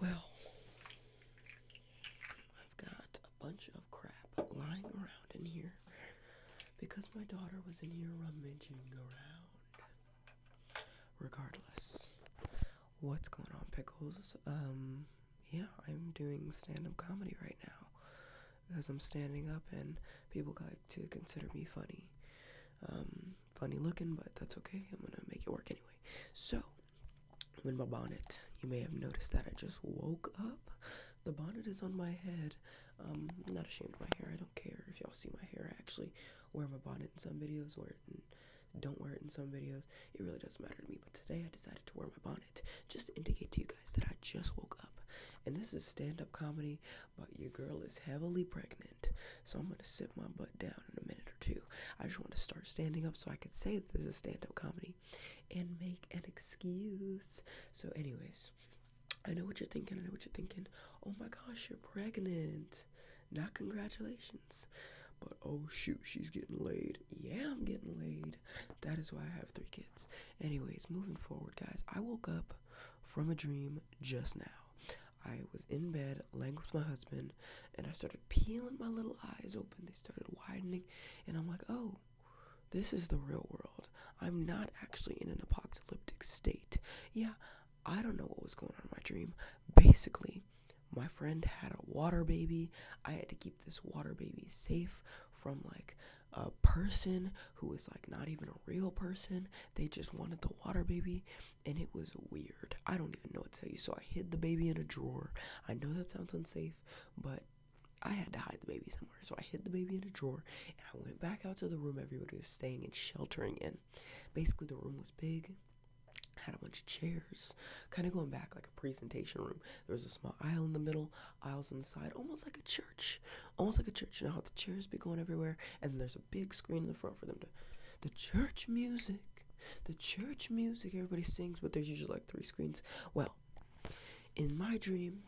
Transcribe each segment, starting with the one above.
Well, I've got a bunch of crap lying around in here because my daughter was in here rummaging around. Regardless, what's going on, Pickles? Um, yeah, I'm doing stand up comedy right now because I'm standing up and people go to consider me funny. Um, funny looking, but that's okay. I'm gonna make it work anyway. So, I'm in my bonnet. You may have noticed that I just woke up. The bonnet is on my head. Um, I'm not ashamed of my hair. I don't care if y'all see my hair. I actually wear my bonnet in some videos, wear it don't wear it in some videos. It really doesn't matter to me. But today I decided to wear my bonnet just to indicate to you guys that I just woke up. And this is stand up comedy, but your girl is heavily pregnant. So I'm gonna sit my butt down in a minute or two. I just want to start standing up so I can say that this is stand-up comedy and make an excuse. So, anyways, I know what you're thinking. I know what you're thinking. Oh my gosh, you're pregnant. Not congratulations. But oh shoot, she's getting laid. Yeah, I'm getting laid. That is why I have three kids. Anyways, moving forward, guys, I woke up from a dream just now. I was in bed, laying with my husband, and I started peeling my little eyes open. They started widening, and I'm like, oh, this is the real world. I'm not actually in an apocalyptic state. Yeah, I don't know what was going on in my dream. Basically, my friend had a water baby. I had to keep this water baby safe from like a person who was like not even a real person. They just wanted the water baby and it was weird. I don't even know what to tell you. So I hid the baby in a drawer. I know that sounds unsafe, but I had to hide the baby somewhere. So I hid the baby in a drawer and I went back out to the room everybody was staying and sheltering in. Basically, the room was big. Had a bunch of chairs, kind of going back like a presentation room. There was a small aisle in the middle, aisles on the side, almost like a church, almost like a church. You know how the chairs be going everywhere, and there's a big screen in the front for them to. The church music, the church music, everybody sings, but there's usually like three screens. Well, in my dream,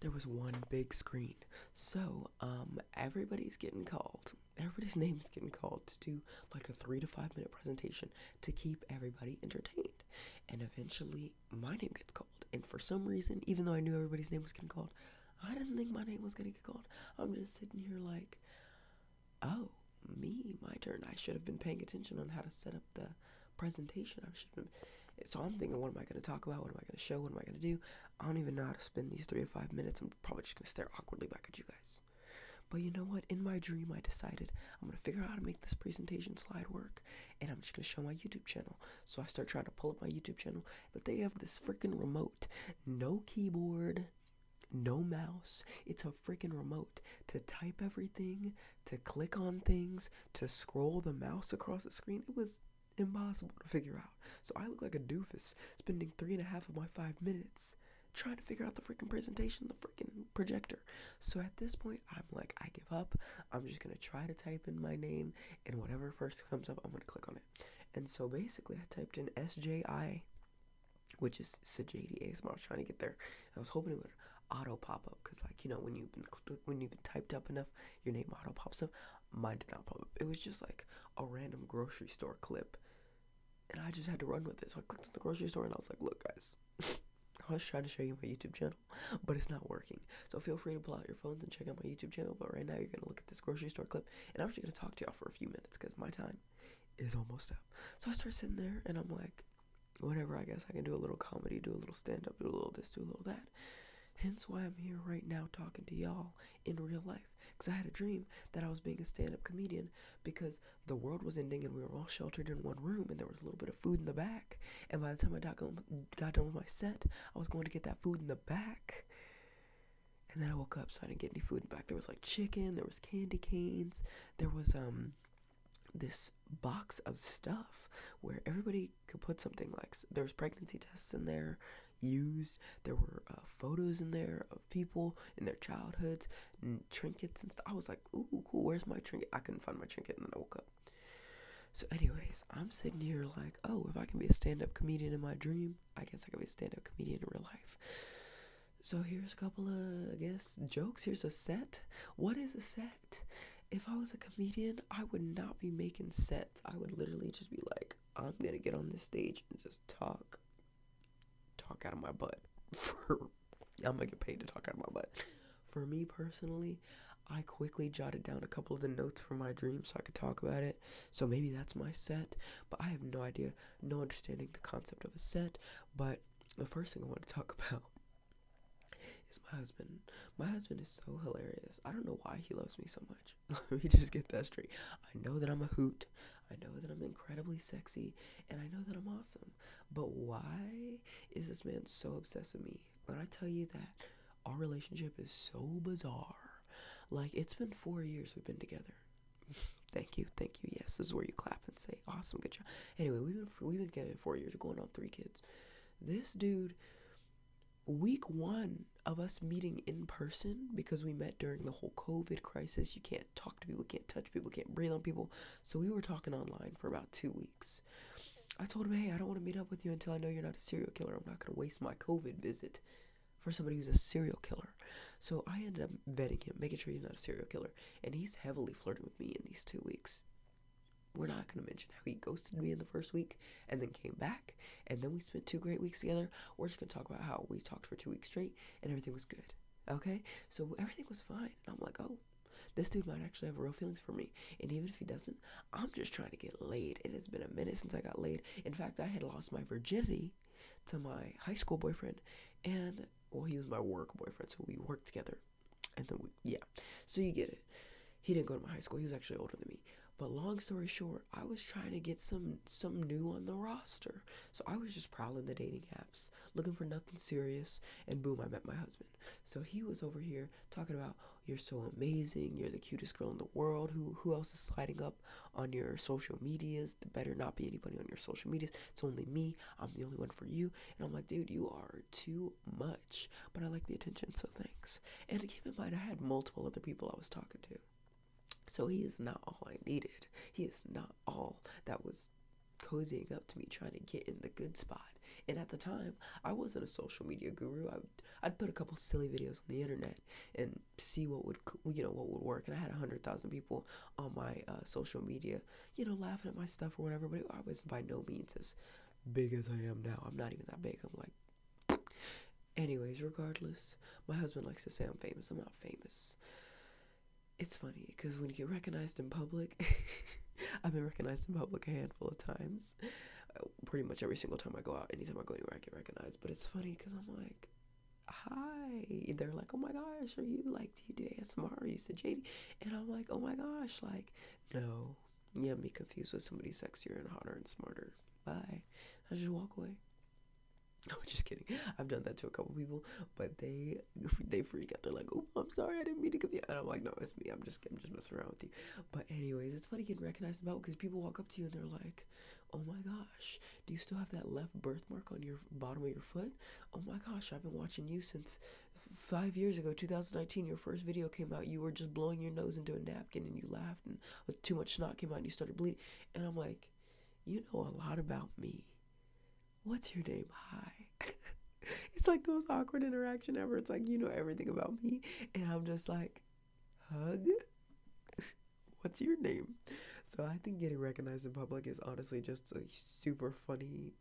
there was one big screen. So, um, everybody's getting called. Everybody's name's getting called to do like a three to five minute presentation to keep everybody entertained. And eventually, my name gets called. And for some reason, even though I knew everybody's name was getting called, I didn't think my name was gonna get called. I'm just sitting here like, oh, me, my turn. I should have been paying attention on how to set up the presentation. I should have So I'm thinking, what am I gonna talk about? What am I gonna show? What am I gonna do? I don't even know how to spend these three to five minutes. I'm probably just gonna stare awkwardly back at you guys. But you know what? In my dream, I decided I'm gonna figure out how to make this presentation slide work, and I'm just gonna show my YouTube channel. So I start trying to pull up my YouTube channel, but they have this freaking remote. No keyboard, no mouse. It's a freaking remote to type everything, to click on things, to scroll the mouse across the screen. It was impossible to figure out. So I look like a doofus spending three and a half of my five minutes trying to figure out the freaking presentation, the freaking projector. So at this point, I'm like, I give up. I'm just gonna try to type in my name, and whatever first comes up, I'm gonna click on it. And so basically, I typed in SJI, which is Sajadi was trying to get there. I was hoping it would auto pop up because, like, you know, when you've been when you've typed up enough, your name auto pops up. Mine did not pop up. It was just like a random grocery store clip, and I just had to run with it. So I clicked on the grocery store and I was like, "Look, guys." I was trying to show you my YouTube channel, but it's not working. So feel free to pull out your phones and check out my YouTube channel. But right now, you're going to look at this grocery store clip and I'm just gonna talk to y'all for a few minutes because my time is almost up. So I start sitting there and I'm like, whatever, I guess I can do a little comedy, do a little stand up, do a little this, do a little that. Hence why I'm here right now talking to y'all in real life. Because I had a dream that I was being a stand up comedian because the world was ending and we were all sheltered in one room and there was a little bit of food in the back. And by the time I got, got done with my set, I was going to get that food in the back. And then I woke up, so I didn't get any food back. There was like chicken, there was candy canes, there was um, this box of stuff where everybody could put something like there's pregnancy tests in there used there were uh, photos in there of people in their childhoods trinkets and stuff i was like ooh cool where's my trinket i couldn't find my trinket and then i woke up so anyways i'm sitting here like oh if i can be a stand-up comedian in my dream I guess I could be a stand up comedian in real life. So here's a couple of, I guess, jokes. Here's a set. What is a set? If I was a comedian, I would not be making sets. I would literally just be like, I'm gonna get on this stage and just talk, talk out of my butt. I'm gonna get paid to talk out of my butt. For me personally, I quickly jotted down a couple of the notes for my dream so I could talk about it so maybe that's my set, but I have no idea, no understanding the concept of a set. But the first thing I want to talk about is my husband. My husband is so hilarious. I don't know why he loves me so much. Let me just get that straight. I know that I'm a hoot. I know that I'm incredibly sexy and I know that I'm awesome. But why is this man so obsessed with me? When I tell you that our relationship is so bizarre like it's been four years we've been together. thank you, thank you. Yes, this is where you clap and say, "Awesome, good job." Anyway, we've been we've been together four years, going on three kids. This dude, week one of us meeting in person because we met during the whole COVID crisis. You can't talk to people, can't touch people, can't breathe on people. So we were talking online for about two weeks. I told him, hey, I don't want to meet up with you until I know you're not a serial killer. I'm not going to waste my COVID visit for somebody who's a serial killer. So I ended up vetting him, making sure he's not a serial killer. And he's heavily flirting with me in these two weeks. We're not going to mention how he ghosted me in the first week and then came back. And then we spent two great weeks together. We're just going to talk about how we talked for two weeks straight and everything was good. Okay? So everything was fine. And I'm like, oh, this dude might actually have real feelings for me. And even if he doesn't, I'm just trying to get laid. And it's been a minute since I got laid. In fact, I had lost my virginity to my high school boyfriend, and well, he was my work boyfriend, so we worked together. And then we, yeah, so you get it. He didn't go to my high school. He was actually older than me. But long story short, I was trying to get some some new on the roster. So I was just prowling the dating apps, looking for nothing serious, and boom, I met my husband. So he was over here talking about you're so amazing, you're the cutest girl in the world. Who who else is sliding up? on your social medias. the better not be anybody on your social medias. It's only me. I'm the only one for you. And I'm like, dude, you are too much. But I like the attention, so thanks. And keep in mind, I had multiple other people I was talking to. So he is not all I needed. He is not all that was cozying up to me trying to get in the good spot. And at the time, I wasn't a social media guru. I'd put a couple silly videos on the internet and see what would you know what would work. And I had a hundred thousand people on my uh, social media, you know, laughing at my stuff or whatever. But I was by no means as big as I am now. I'm not even that big. I'm like. Anyways, regardless, my husband likes to say I'm famous. I'm not famous. It's funny because when you get recognized in public, I've been recognized in public a handful of times pretty much every single time I go out, anytime I go anywhere, I get recognized. But it's funny because I'm like, hi. They're like, oh my gosh, are you like, do you do ASMR? Are you said JD? And I'm like, oh my gosh, like, no. Yeah, be confused with somebody sexier and hotter and smarter. Bye. I just walk away. I'm just kidding. I've done that to a couple people, but they they freak out. They're like, "Oh, I'm sorry, I didn't mean to confuse." And I'm like, "No, it's me. I'm just I'm just messing around with you." But anyways, it's funny getting recognized about because people walk up to you and they're like, Oh my gosh, do you still have that left birthmark on your bottom of your foot? Oh my gosh, I've been watching you since five years ago, 2019. Your first video came out, you were just blowing your nose into a napkin and you laughed, and too much snot came out and you started bleeding. And I'm like, you know a lot about me. What's your name? Hi. it's like the most awkward interaction ever. It's like, you know everything about me. And I'm just like, hug? what's your name? So I think getting recognized in public is honestly just a super funny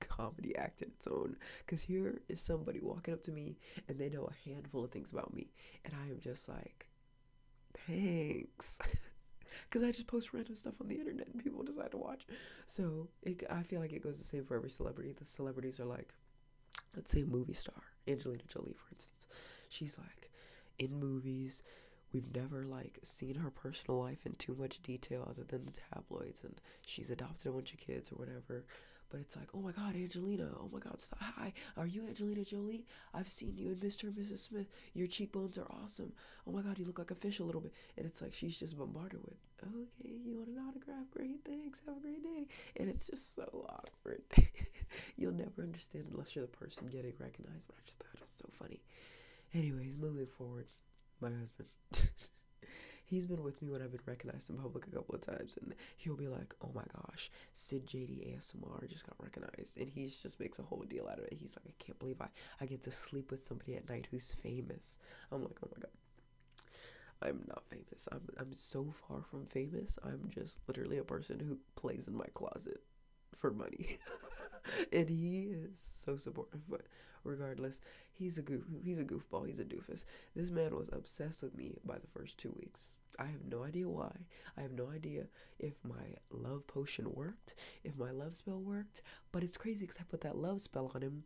comedy act in its own. Because here is somebody walking up to me and they know a handful of things about me. And I am just like, thanks. Because I just post random stuff on the internet and people decide to watch. So I feel like it goes the same for every celebrity. The celebrities are like, let's say a movie star, Angelina Jolie, for instance. She's like in movies. We've never like seen her personal life in too much detail other than the tabloids, and she's adopted a bunch of kids or whatever. But it's like, oh my God, Angelina! Oh my God, hi! Are you Angelina Jolie? I've seen you in Mr. and Mrs. Smith. Your cheekbones are awesome. Oh my God, you look like a fish a little bit. And it's like she's just bombarded with, okay, you want an autograph? Great, thanks. Have a great day. And it's just so You'll never understand unless you're the person getting recognized, but I just thought it was so funny. Anyways, moving forward, my husband. He's been with me when I've been recognized in public a couple of times, and he'll be like, "Oh my gosh, Sid JD ASMR just got recognized," and he just makes a whole deal out of it. He's like, "I can't believe I I get to sleep with somebody at night who's famous." I'm like, "Oh my god." I'm not famous. I'm I'm so far from famous. I'm just literally a person who plays in my closet for money. and he is so supportive, but regardless, he's a goof he's a goofball, he's a doofus. This man was obsessed with me by the first 2 weeks. I have no idea why. I have no idea if my love potion worked, if my love spell worked, but it's crazy cuz I put that love spell on him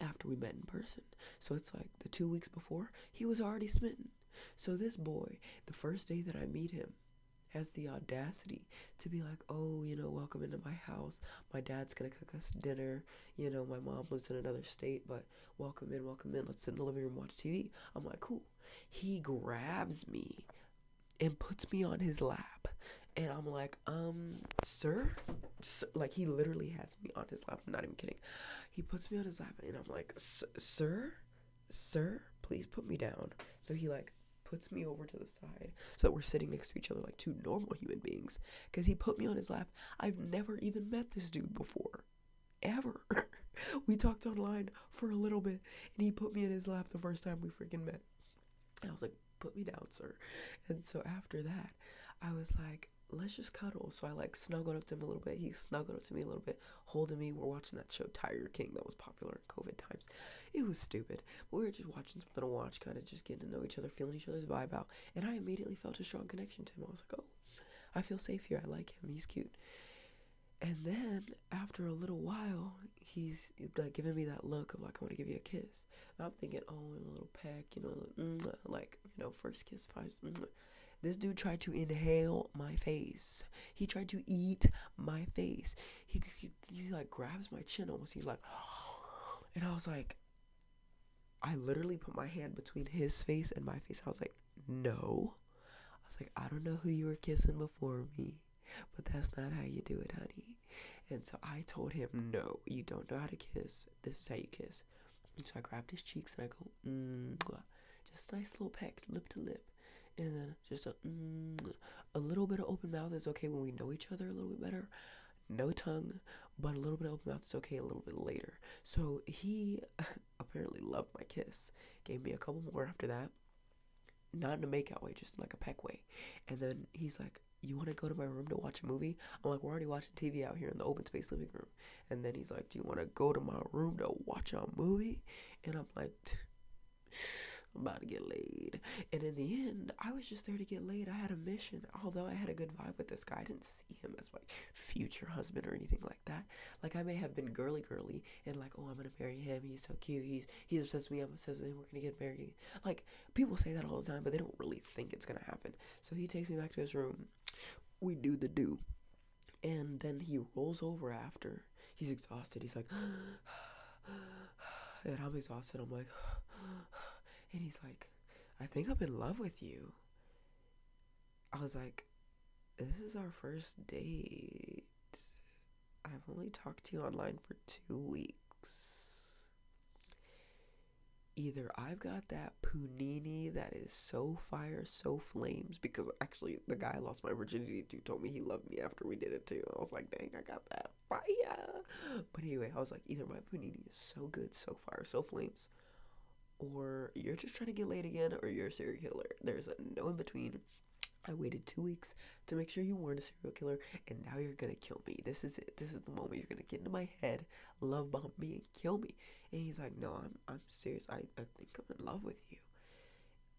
after we met in person. So it's like the 2 weeks before, he was already smitten. So this boy, the first day that I meet him, has the audacity to be like, oh, you know, welcome into my house. My dad's gonna cook us dinner. You know, my mom lives in another state, but welcome in, welcome in. Let's sit in the living room, watch TV. I'm like, cool. He grabs me and puts me on his lap. And I'm like, um, sir? Like, he literally has me on his lap. I'm not even kidding. He puts me on his lap, and I'm like, sir? sir, please put me down. So he like puts me over to the side so we're sitting next to each other like two normal human beings because he put me on his lap. I've never even met this dude before. Ever. we talked online for a little bit and he put me in his lap the first time we freaking met. I was like, put me down, sir. And so after that, I was like, let's just cuddle. So I like snuggled up to him a little bit. He snuggled up to me a little bit holding me. We're watching that show Tiger King that was popular in COVID times. It was stupid. But we were just watching something to watch, kind of just getting to know each other, feeling each other's vibe out. And I immediately felt a strong connection to him. I was like, oh, I feel safe here. I like him. He's cute. And then after a little while, he's like giving me that look of like I want to give you a kiss. I'm thinking, oh, and a little peck, you know, mm, like you know, first kiss, five, mm, this dude tried to inhale my face. He tried to eat my face. He, he, like grabs my chin almost. He's like, and I was like, I literally put my hand between his face and my face. I was like, no. I was like, I don't know who you were kissing before me, but that's not how you do it, honey. And so I told him, no, you don't know how to kiss. This is how you kiss. so I grabbed his cheeks and I go, mm, lava. Just nice little peck, lip to lip. And then just a, mm, a little bit of open mouth is okay when we know each other a little bit better. No tongue, but a little bit of open mouth is okay a little bit later. So he apparently loved my kiss. Gave me a couple more after that. Not in a makeout way, just like a peck way. And then he's like, you want to go to my room to watch a movie? I'm like, we're already watching TV out here in the open space living room. And then he's like, Do you want to go to my room to watch a movie? And I'm like, I'm about to get laid. And in the end, I was just there to get laid. I had a mission. Although I had a good vibe with this guy, I didn't see him as my future husband or anything like that. Like I may have been girly girly and like, oh, I'm gonna marry him. He's so cute. He's he's obsessed with me. I'm obsessed with him. We're gonna get married. Like people say that all the time, but they don't really think it's gonna happen. So he takes me back to his room. We do the do and then he rolls over after he's exhausted he's like and i'm exhausted i'm like and he's like i think i'm in love with you i was like this is our first date i've only talked to you online for two weeks either i've got that punini that is so fire so flames because actually, the guy lost my virginity to told me he loved me after we did it too. I was like, dang, I got that fire. But anyway, I was like, either my panini is so good, so fire, so flames, or you're just trying to get laid again, or you're a serial killer. There's no in between. I waited two weeks to make sure you weren't a serial killer, and now you're gonna kill me. This is it. This is the moment you're gonna get into my head, love bomb me, and kill me. And he's like, No, I'm serious. I, I think I'm in love with you.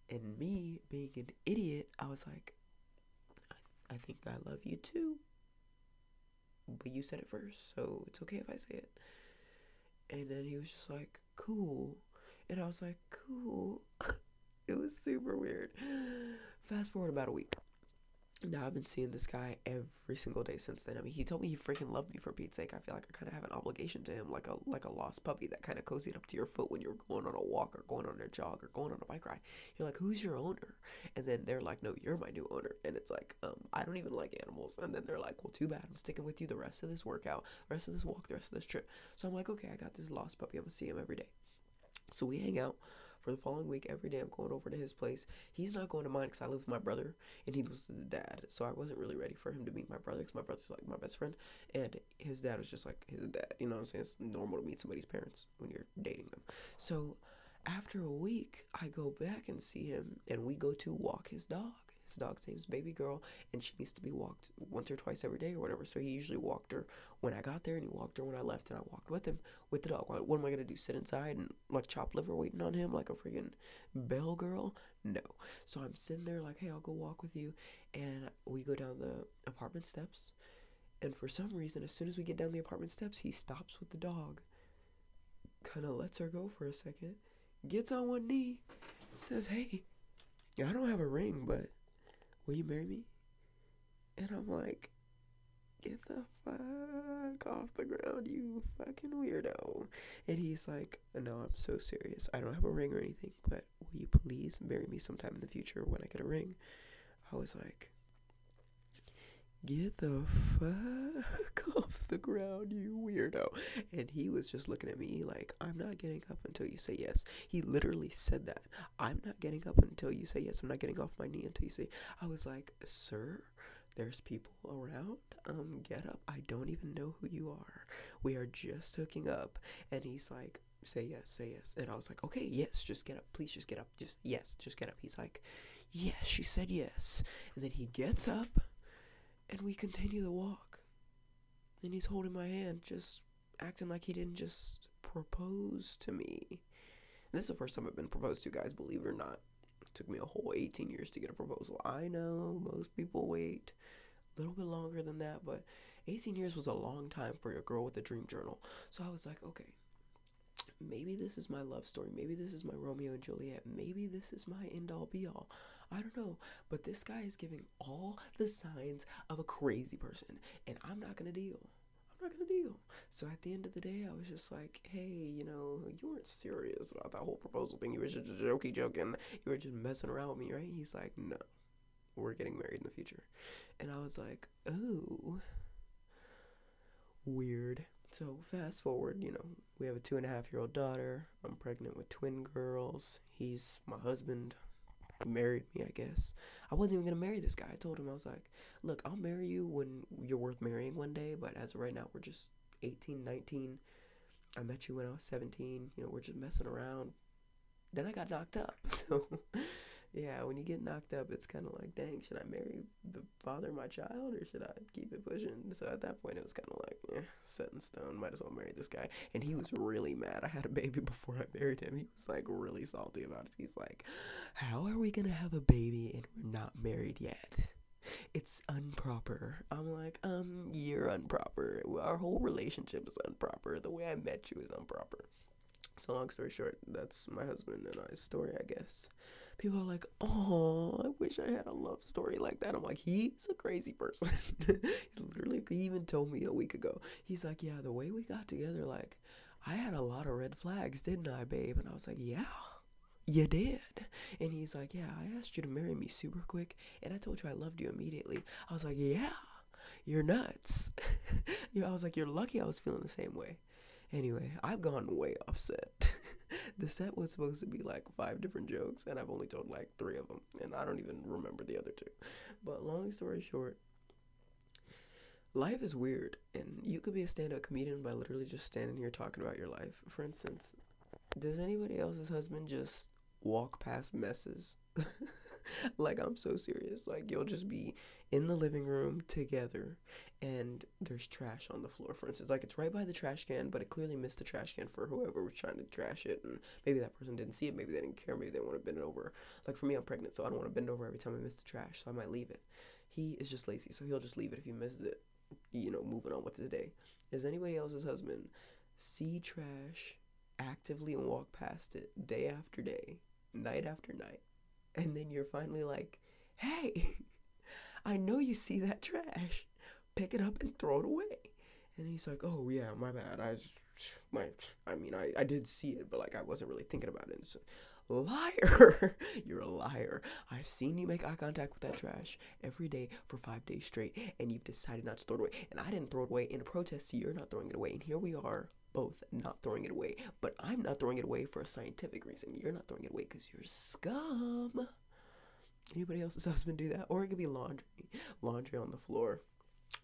And me being an idiot, I was like, I think I love you too. But you said it first, so it's okay if I say it. And then he was just like, cool. And I was like, cool. it was super weird. Fast forward about a week. Now I've been seeing this guy every single day since then. I mean, he told me he freaking loved me for Pete's sake. I feel like I kind of have an obligation to him, like a like a lost puppy that kind of cozied up to your foot when you're going on a walk or going on a jog or going on a bike ride. You're like, who's your owner? And then they're like, no, you're my new owner. And it's like, um, I don't even like animals. And then they're like, well, too bad. I'm sticking with you the rest of this workout, the rest of this walk, the rest of this trip. So I'm like, okay, I got this lost puppy. I'm gonna see him every day. So we hang out for the following week. Every day I'm going over to his place. He's not going to mine because I live with my brother and he lives with his dad. So I wasn't really ready for him to meet my brother because my brother like my best friend, and his dad was just like his dad. You know what I'm saying? It's normal to meet somebody's parents when you're dating them. So after a week, I go back and see him, and we go to walk his dog. His dog's name's Baby Girl, and she needs to be walked once or twice every day or whatever. So he usually walked her when I got there, and he walked her when I left, and I walked with him with the dog. What, what am I gonna do? Sit inside and like chop liver waiting on him like a freaking bell girl? No. So I'm sitting there like, hey, I'll go walk with you. And we go down the apartment steps. And for some reason, as soon as we get down the apartment steps, he stops with the dog, kind of lets her go for a second, gets on one knee, says, hey, I don't have a ring, but will you marry me? And I'm like, get the fuck off the ground, you fucking weirdo. And he's like, and no, I'm so serious. I don't have a ring or anything, but will you please marry me sometime in the future when I get a ring? I was like, get the fuck off the ground, you weirdo. And he was just looking at me like, I'm not getting up until you say yes. He literally said that. I'm not getting up until you say yes. I'm not getting off my knee until you say, I was like, sir, there's people around um, get up. I don't even know who you are. We are just hooking up. And he's like, say yes, say yes. And I was like, okay, yes, just get up. Please just get up. Just, yes, just get up. He's like, yes, she said yes. And then he gets up and we continue the walk. And he's holding my hand, just acting like he didn't just propose to me. This is the first time I've been proposed to, guys, believe it or not. It took me a whole 18 years to get a proposal. I know most people wait little bit longer than that, but 18 years was a long time for a girl with a dream journal. So I was like, okay, maybe this is my love story. Maybe this is my Romeo and Juliet. Maybe this is my end all be all. I don't know. But this guy is giving all the signs of a crazy person, and I'm not going to deal. I'm not going to deal. So at the end of the day, I was just like, hey, you know, you weren't serious about that whole proposal thing. You were just a jokey joking. you were just messing around with me, right? He's like, no, we're getting married in the future. And I was like, oh, weird. So fast forward, you know, we have a two and a half year old daughter. I'm pregnant with twin girls. He's my husband. He married me, I guess. I wasn't even gonna marry this guy. I told him I was like, look, I'll marry you when you're worth marrying one day, but as of right now, we're just 18, 19. I met you when I was 17. You know, we're just messing around. Then I got knocked up. So, yeah, when you get knocked up, it's kind of like, dang, should I marry the father of my child or should I keep it pushing? So at that point, it was kind of like, eh, set in stone. Might as well marry this guy. And he was really mad. I had a baby before I married him. He was like really salty about it. He's like, how are we going to have a baby and we're not married yet? It's improper. I'm like, um, you're unproper. Our whole relationship is unproper. The way I met you is unproper. So long story short, that's my husband and I's story, I guess. People are like, "Oh, I wish I had a love story like that." I'm like, he's a crazy person. He literally even told me a week ago. He's like, "Yeah, the way we got together, like, I had a lot of red flags, didn't I, babe?" And I was like, "Yeah." You did. And he's like, Yeah, I asked you to marry me super quick and I told you I loved you immediately. I was like, yeah, you're nuts. I was like, you're lucky I was feeling the same way. Anyway, I've gone way off set. the set was supposed to be like five different jokes, and I've only told like three of them, and I don't even remember the other two. But long story short, life is weird, and you could be a stand up comedian by literally just standing here talking about your life. For instance, does anybody else's husband just walk past messes. like I'm so serious. Like you'll just be in the living room together and there's trash on the floor. For instance, like it's right by the trash can, but it clearly missed the trash can for whoever was trying to trash it and maybe that person didn't see it, maybe they didn't care, maybe they want to bend it over. Like for me I'm pregnant, so I don't want to bend over every time I miss the trash, so I might leave it. He is just lazy, so he'll just leave it if he misses it. You know, moving on with his day. Is anybody else's husband see trash actively and walk past it day after day, night after night. And then you're finally like, hey, I know you see that trash. Pick it up and throw it away. And he's like, oh, yeah, my bad. I, just, my, I mean, I, I did see it, but like I wasn't really thinking about it. So, liar. you're a liar. I've seen you make eye contact with that trash every day for five days straight and you've decided not to throw it away. And I didn't throw it away in a protest, so you're not throwing it away. And here we are both not throwing it away. But I'm not throwing it away for a scientific reason. You're not throwing it away because you're scum. Anybody else's husband do that? Or it could be laundry. Laundry on the floor,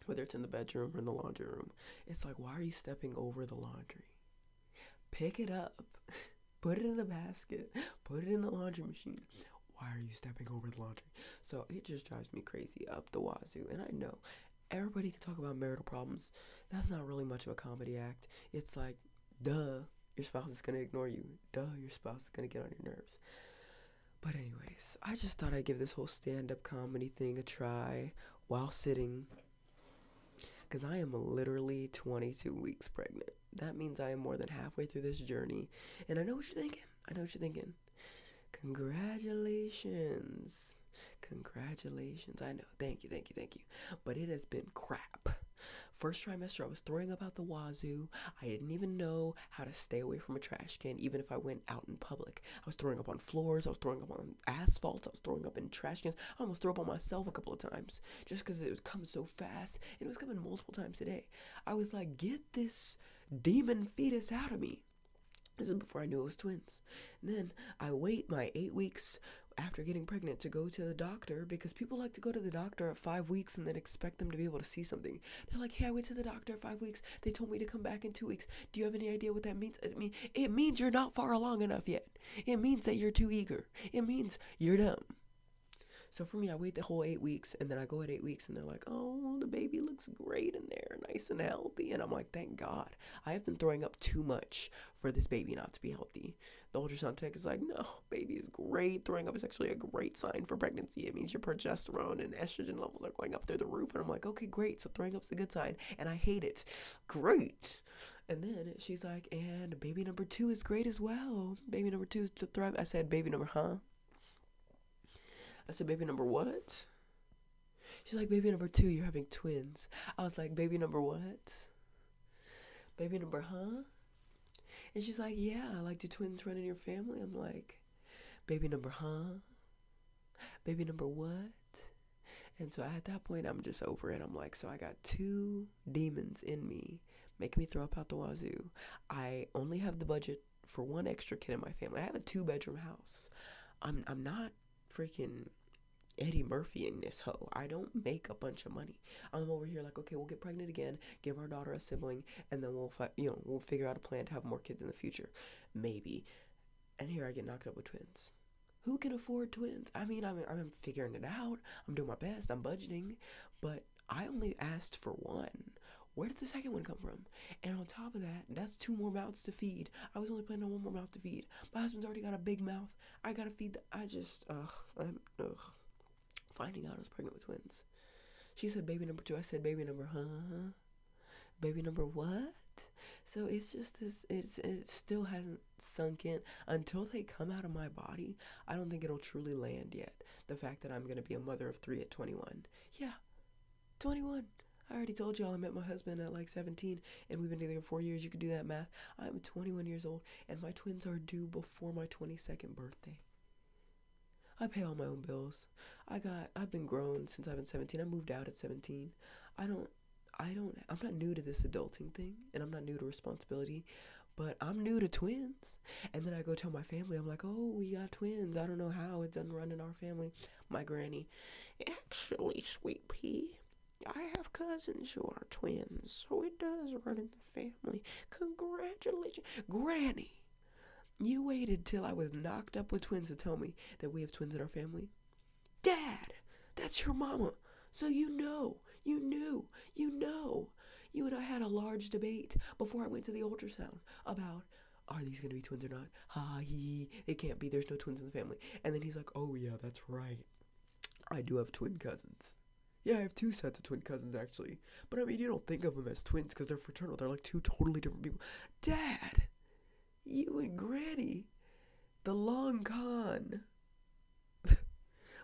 whether it's in the bedroom or in the laundry room. It's like, why are you stepping over the laundry? Pick it up. Put it in a basket. Put it in the laundry machine why are you stepping over the laundry? So it just drives me crazy up the wazoo. And I know everybody can talk about marital problems. That's not really much of a comedy act. It's like, duh, your spouse is gonna ignore you. Duh, your spouse is gonna get on your nerves. But anyways, I just thought I'd give this whole stand-up comedy thing a try while sitting because I am literally 22 weeks pregnant. That means I am more than halfway through this journey. And I know what you're thinking. I know what you're thinking. Congratulations. Congratulations. I know. Thank you. Thank you. Thank you. But it has been crap. First trimester, I was throwing up out the wazoo. I didn't even know how to stay away from a trash can, even if I went out in public. I was throwing up on floors. I was throwing up on asphalt. I was throwing up in trash cans. I almost threw up on myself a couple of times just because it would come so fast. It was coming multiple times a day. I was like, get this demon fetus out of me. This is before I knew it was twins. then I wait my eight weeks after getting pregnant to go to the doctor because people like to go to the doctor at five weeks and then expect them to be able to see something. They're like, hey, I went to the doctor five weeks. They told me to come back in two weeks. Do you have any idea what that means? I mean, it means you're not far along enough yet. It means that you're too eager. It means you're dumb. So for me, I wait the whole eight weeks and then I go at eight weeks and they're like, oh, the baby looks great in there, nice and healthy. And I'm like, thank God. I have been throwing up too much for this baby not to be healthy. The ultrasound tech is like, no, baby is great. Throwing up is actually a great sign for pregnancy. It means your progesterone and estrogen levels are going up through the roof. And I'm like, okay, great. So throwing up's a good sign. And I hate it. Great. And then she's like, and baby number two is great as well. Baby number two is to thrive. I said, baby number, huh? I said, baby number what? She's like, baby number two, you're having twins. I was like, baby number what? Baby number, huh? And she's like, yeah, I like, the twins running your family? I'm like, baby number, huh? Baby number what? And so at that point, I'm just over it. I'm like, so I got two demons in me, making me throw up out the wazoo. I only have the budget for one extra kid in my family. I have a two bedroom house. I'm I'm not freaking Eddie Murphy in this hoe. I don't make a bunch of money. I'm over here like, okay, we'll get pregnant again, give our daughter a sibling, and then we'll you know we'll figure out a plan to have more kids in the future, maybe. And here I get knocked up with twins. Who can afford twins? I mean, I'm I'm figuring it out. I'm doing my best. I'm budgeting, but I only asked for one. Where did the second one come from? And on top of that, that's two more mouths to feed. I was only planning on one more mouth to feed. My husband's already got a big mouth. I gotta feed. The, I just ugh. I'm ugh. Finding out I was pregnant with twins. She said baby number two. I said baby number huh. Baby number what? So it's just this. It's it still hasn't sunk in until they come out of my body. I don't think it'll truly land yet. The fact that I'm gonna be a mother of three at 21. Yeah, 21. I already told y'all I met my husband at like 17 and we've been together four years. You could do that math. I'm 21 years old and my twins are due before my 22nd birthday. I pay all my own bills. I got I've been grown since I've been 17. I moved out at 17. I don't I don't I'm not new to this adulting thing and I'm not new to responsibility, but I'm new to twins. And then I go tell my family, I'm like, oh, we got twins. I don't know how it doesn't run in our family. My granny, actually, sweet pea, I have cousins who are twins, so it does run in the family. Congratulations, granny. You waited till I was knocked up with twins to tell me that we have twins in our family? Dad, that's your mama. So you know, you knew, you know. You and I had a large debate before I went to the ultrasound about are these going to be twins or not? Ha, he, it can't be. There's no twins in the family. And then he's like, oh, yeah, that's right. I do have twin cousins. Yeah, I have two sets of twin cousins, actually. But I mean, you don't think of them as twins because they're fraternal. They're like two totally different people. Dad, you and Granny, the long con.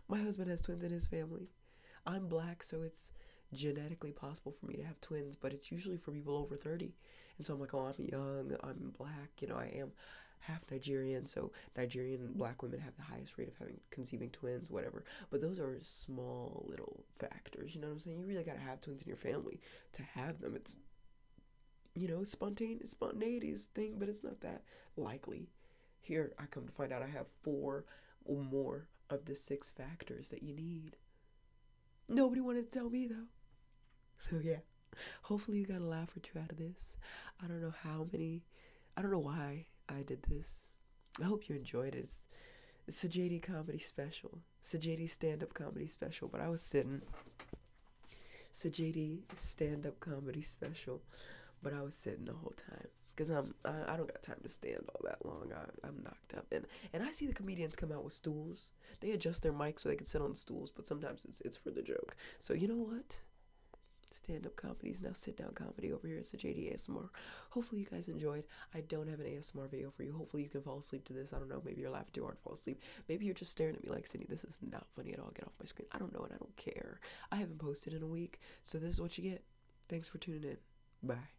My husband has twins in his family. I'm black, so it's genetically possible for me to have twins, but it's usually for people over 30. And so I'm like, oh, I'm young, I'm black, you know, I am half Nigerian, so Nigerian black women have the highest rate of having conceiving twins, whatever. But those are small little factors, you know what I'm saying? You really got to have twins in your family to have them. It's you know, spontaneous spontaneous thing, but it's not that likely. Here I come to find out I have four or more of the six factors that you need. Nobody wanted to tell me though. So yeah. Hopefully you got a laugh or two out of this. I don't know how many I don't know why I did this. I hope you enjoyed it. It's, a JD comedy special. It's a JD stand up comedy special, but I was sitting. It's a JD stand up comedy special, but I was sitting the whole time. Because I'm, I, don't got time to stand all that long. I'm not up. And and I see the comedians come out with stools. They adjust their mic so they can sit on stools, but sometimes it's it's for the joke. So you know what? Stand up comedy is now sit down comedy over here. It's the JD ASMR. Hopefully you guys enjoyed. I don't have an ASMR video for you. Hopefully you can fall asleep to this. I don't know. Maybe you're laughing too hard to fall asleep. Maybe you're just staring at me like Sydney. This is not funny at all. Get off my screen. I don't know and I don't care. I haven't posted in a week, so this is what you get. Thanks for tuning in. Bye.